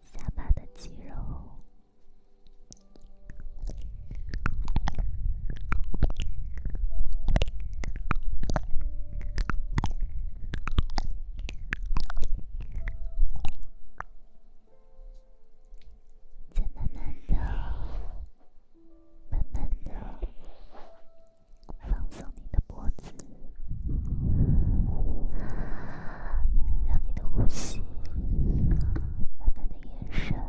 下巴的肌肉，放松你的。脖子，让你的呼吸，慢慢的延伸，慢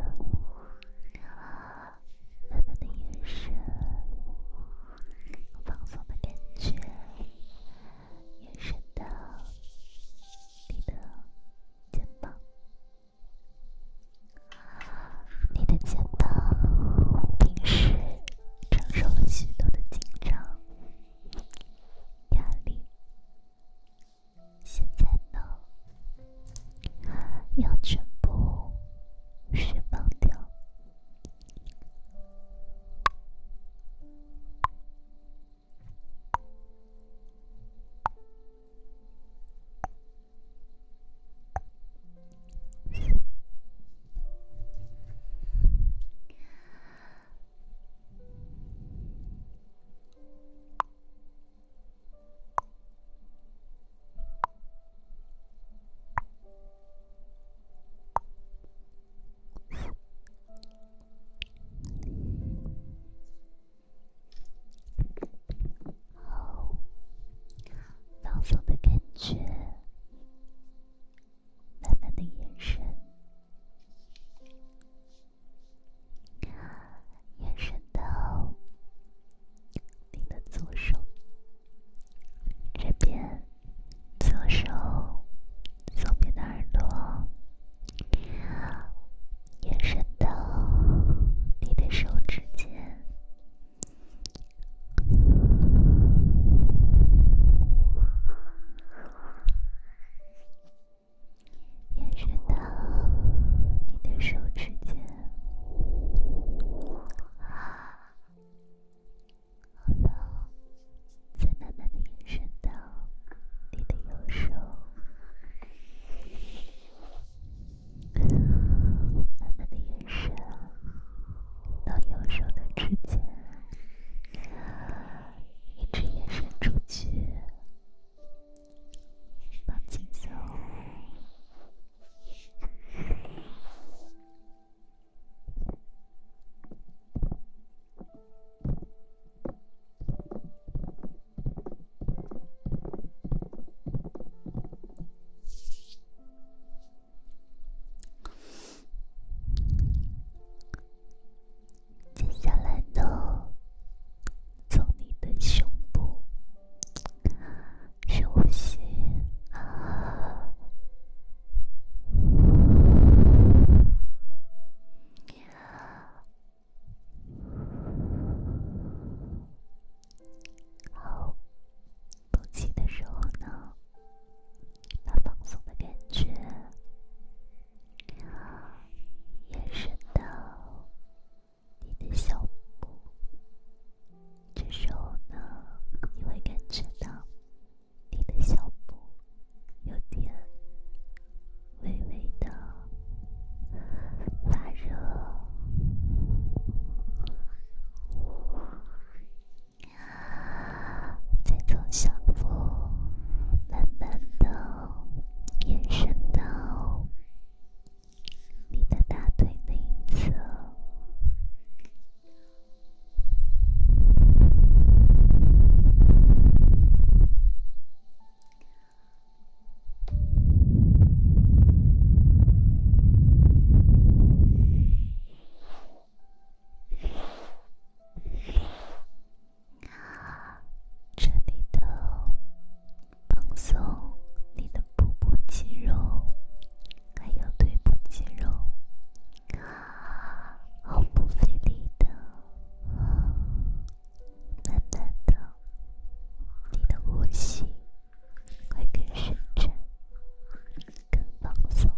慢的延伸，放松的感觉，延伸到你的肩膀，你的肩膀平时承受了许多的紧张。压力，现在呢，要全部释放掉。放松的感觉。慢慢的延伸，延伸到你的左手这边，左手左边的耳朵，延伸到你的手指尖。延伸到你的手指尖，好了，再慢慢的延伸到你的右手，慢慢的延伸。到右手的指尖一直延伸出去，放松。接下来呢，从你的胸部深呼吸，好，呼气的时候呢。把放松的感觉延伸到你的小腹，这时候呢，你会感觉到你的小腹有点微微的发热。再从下腹慢慢的延伸到你的大腿内侧。彻底的放松你的腹部肌肉，还有腿部肌肉，啊，毫不费力的，慢慢的，你的呼吸会更深沉，更放松。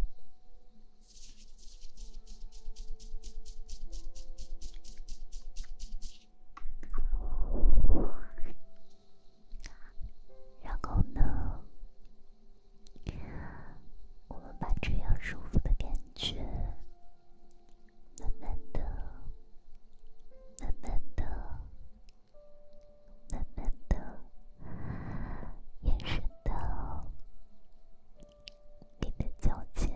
然后呢？我们把这样舒服的感觉，慢慢的、慢慢的、慢慢的延伸到。你的脚尖，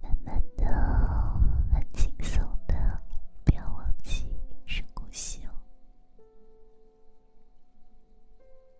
慢慢的，很轻松的，不要忘记深呼吸哦。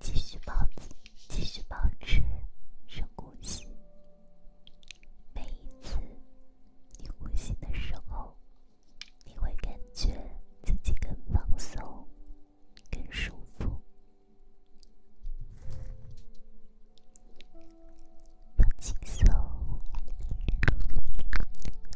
继续保持，继续保持深呼吸。每一次你呼吸的时候，你会感觉自己更放松、更舒服、放轻松。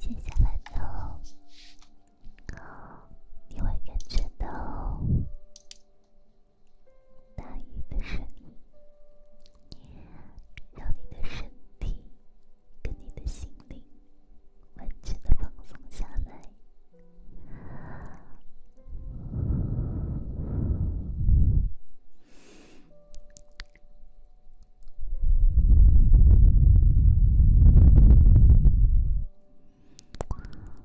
接下来的，你会感觉到。大鱼的声音，让你的身体跟你的心灵完全的放松下来。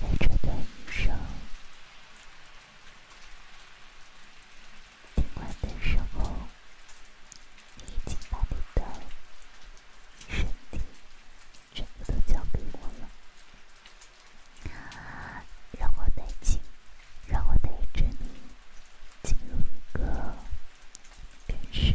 在这段余生尽管的时后你已经把你的身体全部都交给我了，让我带进，让我带着你进入一个更深。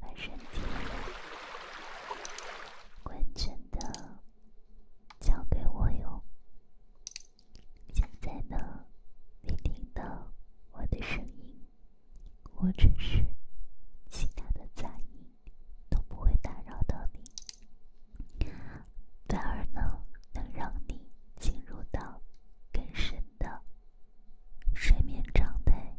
把身体完全的交给我哟。现在呢，你听到我的声音，或者是其他的杂音，都不会打扰到你，反而呢，能让你进入到更深的睡眠状态。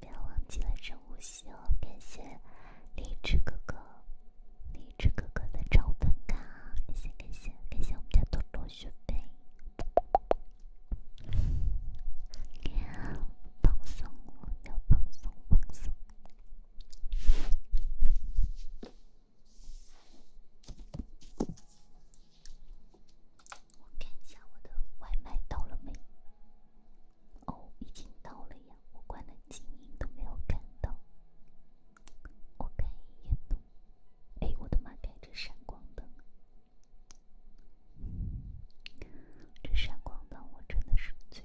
不要忘记了晨呼吸哦！感谢荔枝哥哥、荔枝哥哥的超粉卡，感谢感谢感谢我们家多多学贝。这样放松哦，要放松放松。我看一下我的外卖到了没？哦，已经到了呀！我关了静音都没有看到。我看一眼灯，哎，我的妈，开着闪光灯！这闪光灯我真的是醉。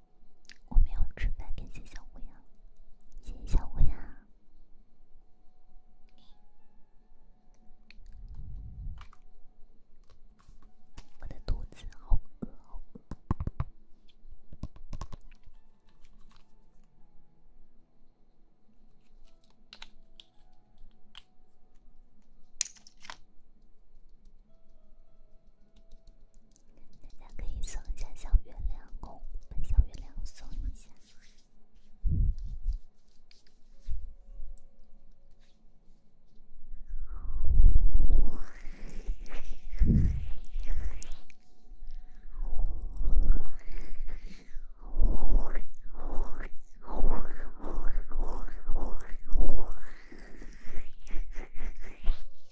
我没有吃饭，感谢小乌鸦，谢谢小乌鸦，我的肚子好饿，好饿。大家可以送一下小月亮，哦，把小月亮送一下。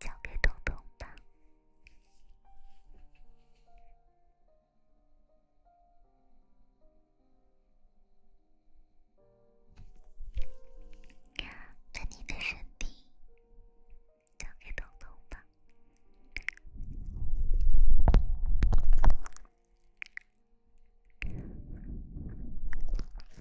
交给彤彤吧，把你的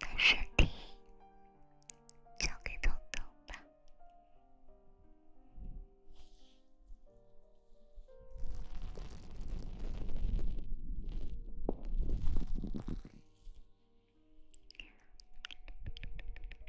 把身体交给彤彤吧。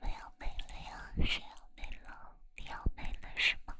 么有没了呀，谁要没了？你要没了是吗？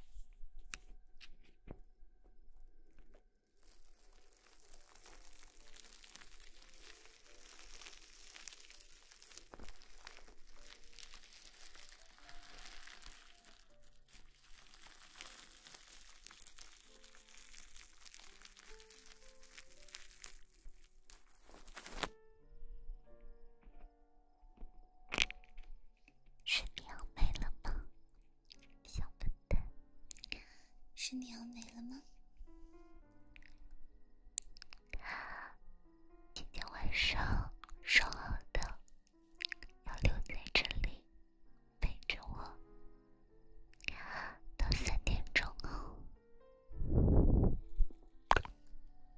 是你要没了吗，小笨蛋？是你要没了吗？今天晚上说好的要留在这里陪着我到三点钟哦。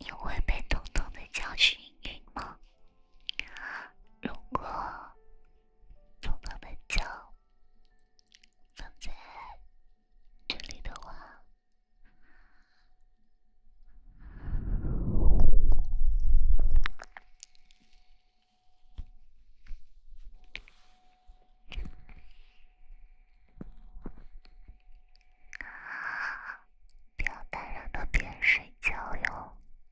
你会被通通的教训一顿吗？如果。放在脚，放在这里的话，不要打扰到别人睡觉哟。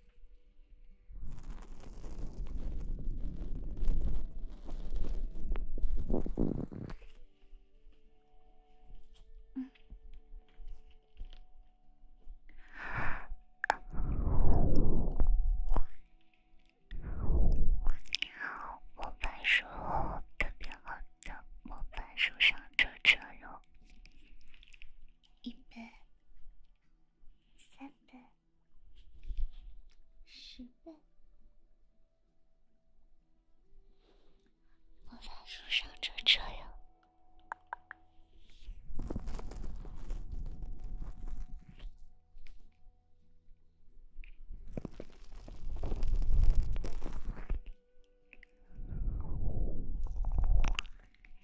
你好，魔法树特别好听。魔法树上遮遮有，一分、三分。十倍！魔法书上这招有。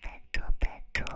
笨拙，笨拙。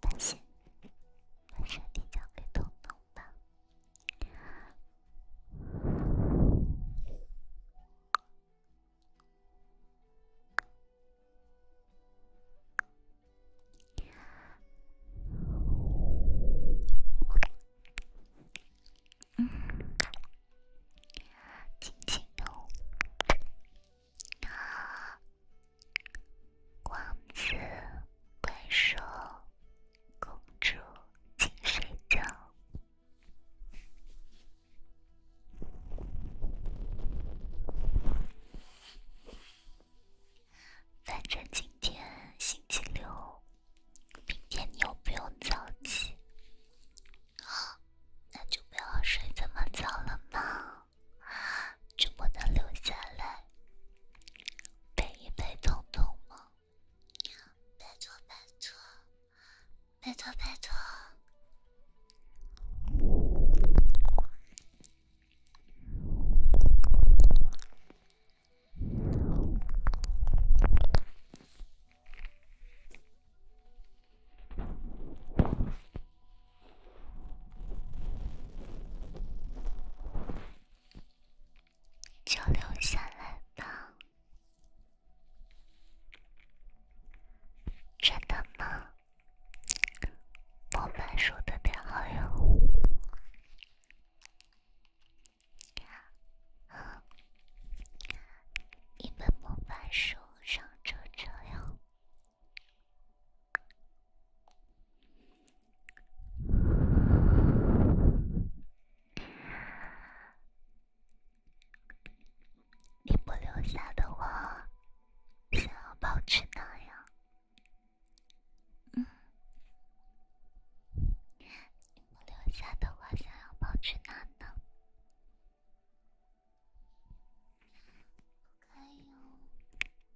放心，把身体交给彤彤吧。轻轻用那光子感受。公主，请睡觉。反正今天星期六，明天你又不用早起，啊，那就不要睡这么早了嘛，就不能留下来？陪一陪彤彤吗？拜托拜托，拜托拜托。就留下来吧，真的吗？魔法书的编号哟，一本魔法书上就这样。你不留下的话，想要跑去哪呀？嗯，你不留下的话，想要跑去哪呢？不可以哦。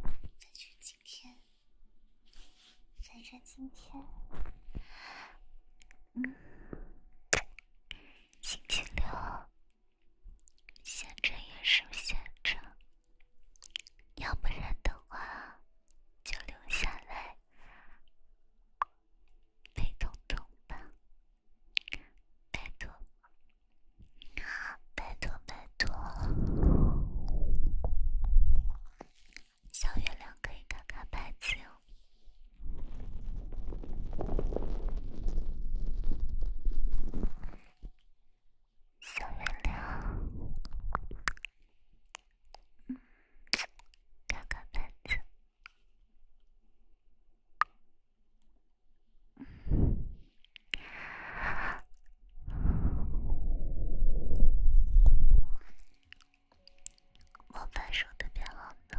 反正今天，反正今天，嗯，星期六，想着也是想着，要不然的话，就留下来陪彤彤吧，拜托。拜托拜托，小月亮可以看看牌子小月亮，嗯，看看牌子。我放手，别乱动。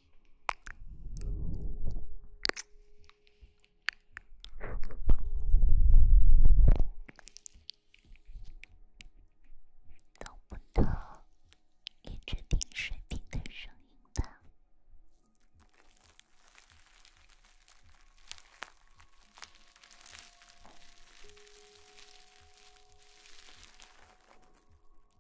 能不能一直听水滴的声音呢？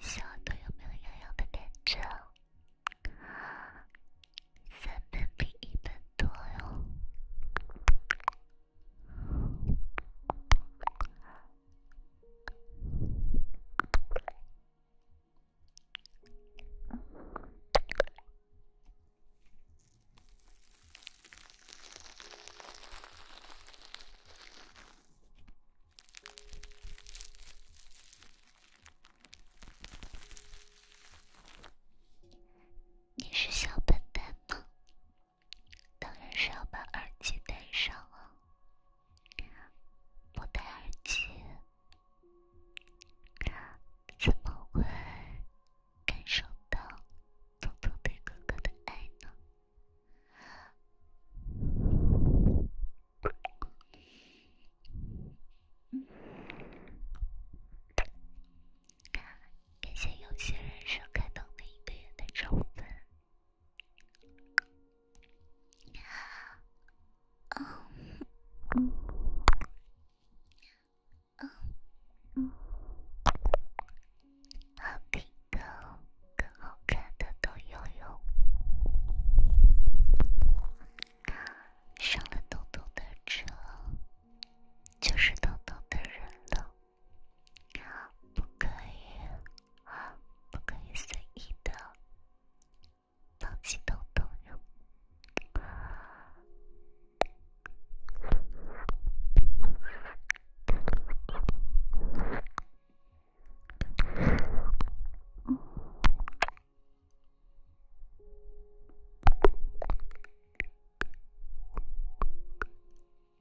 小的有没有痒的感觉？三分比一分多哟。你是小笨本吗？当然是要把耳机戴上啊。不戴耳机怎么会感受到彤彤对哥哥的爱呢？感谢有些人收看到每一个人的涨粉。嗯嗯嗯，好看的更好看的都有上了东东的车，就是东东的人了。不可以，不可以随意的放弃东东。嗯。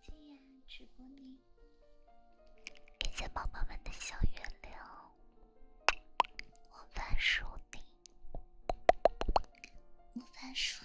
今夜直播你，感谢宝宝们的小月亮，我翻书呢，我翻书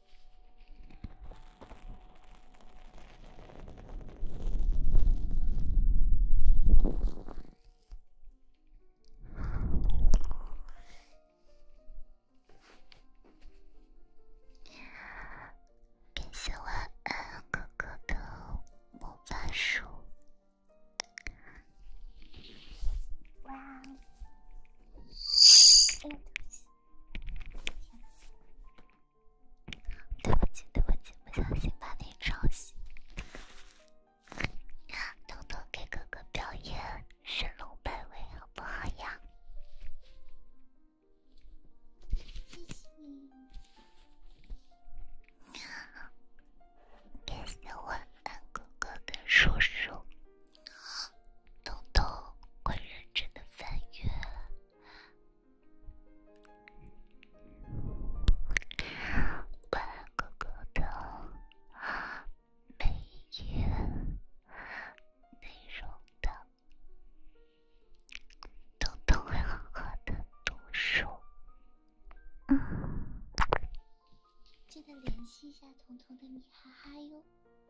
感谢晚安哥哥的魔法书。对不起，对不起，不小心把你吵醒。偷偷给哥哥表演神龙摆尾，好不好呀？谢谢晚安哥哥的叔叔。彤彤，快认真的翻阅，每一个的每一页内容的，彤彤会好好的读书。嗯，记得联系一下彤彤的米哈哈哟。